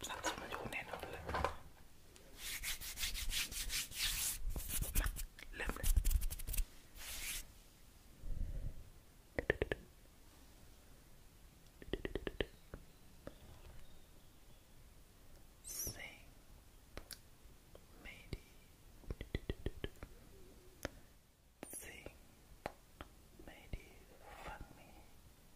Satsmelon är Sing. Maybe. Sing. Maybe. Fuck me.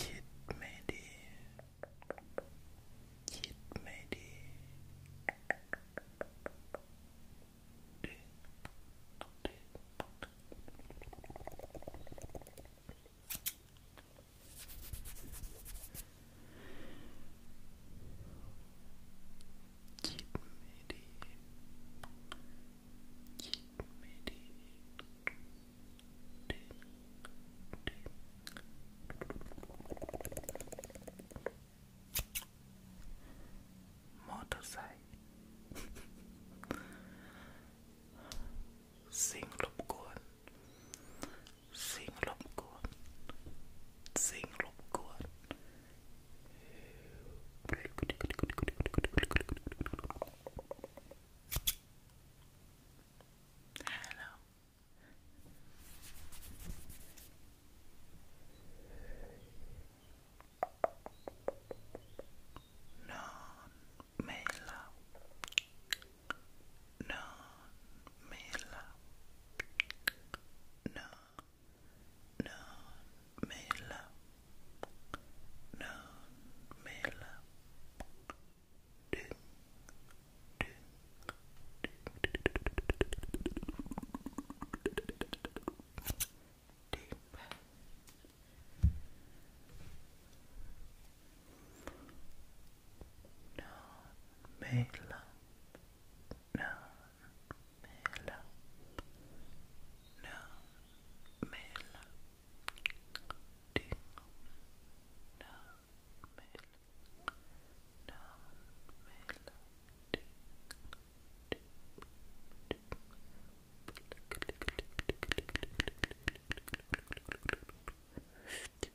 คิดไม่ดีคิดไม่ดีดึงดึง Cheat midi. Cheat midi. Motorcycle. Sing lobcorn sing lop kuan sing lop kuan hello non mela non mela non non mela non mela ding ding Non, mais là non me la non me la digo non me la non me la digo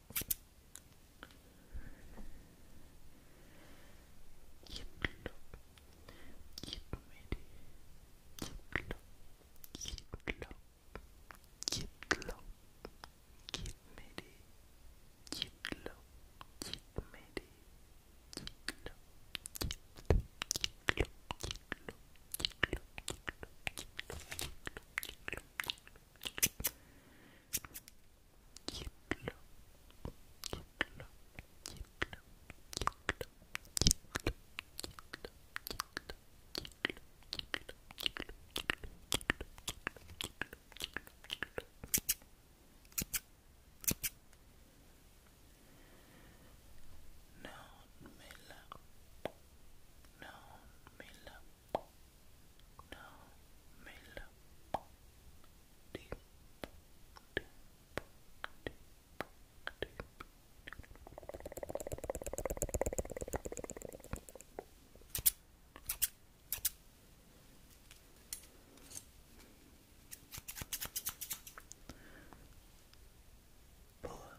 Yiplo. Yipmedi. Yiplo. Yiplo. Yiplo. Yipmedi. Yiplo. Yipmedi. Yiplo. Yiplo. Yiplo. Yiplo. Yiplo. Yiplo. Yiplo. Yiplo. Yiplo. Non me la, non me la mela deep deep deep deep Put more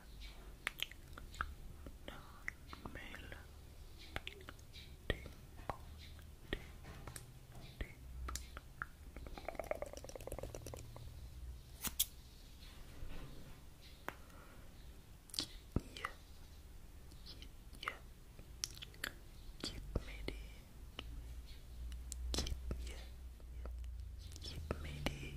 Mil deep, deep, deep. Yeah, yeah, keep me deep, keep yeah, keep me deep,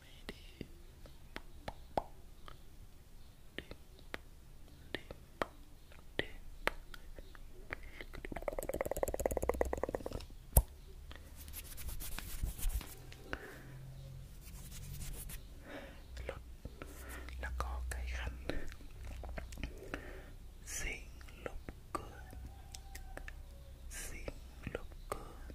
Maybe. Là có Sing look good Sing look good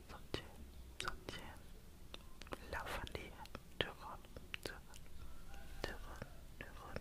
손질, 손질, 러블리, 두근, 두근, 두근, 두근.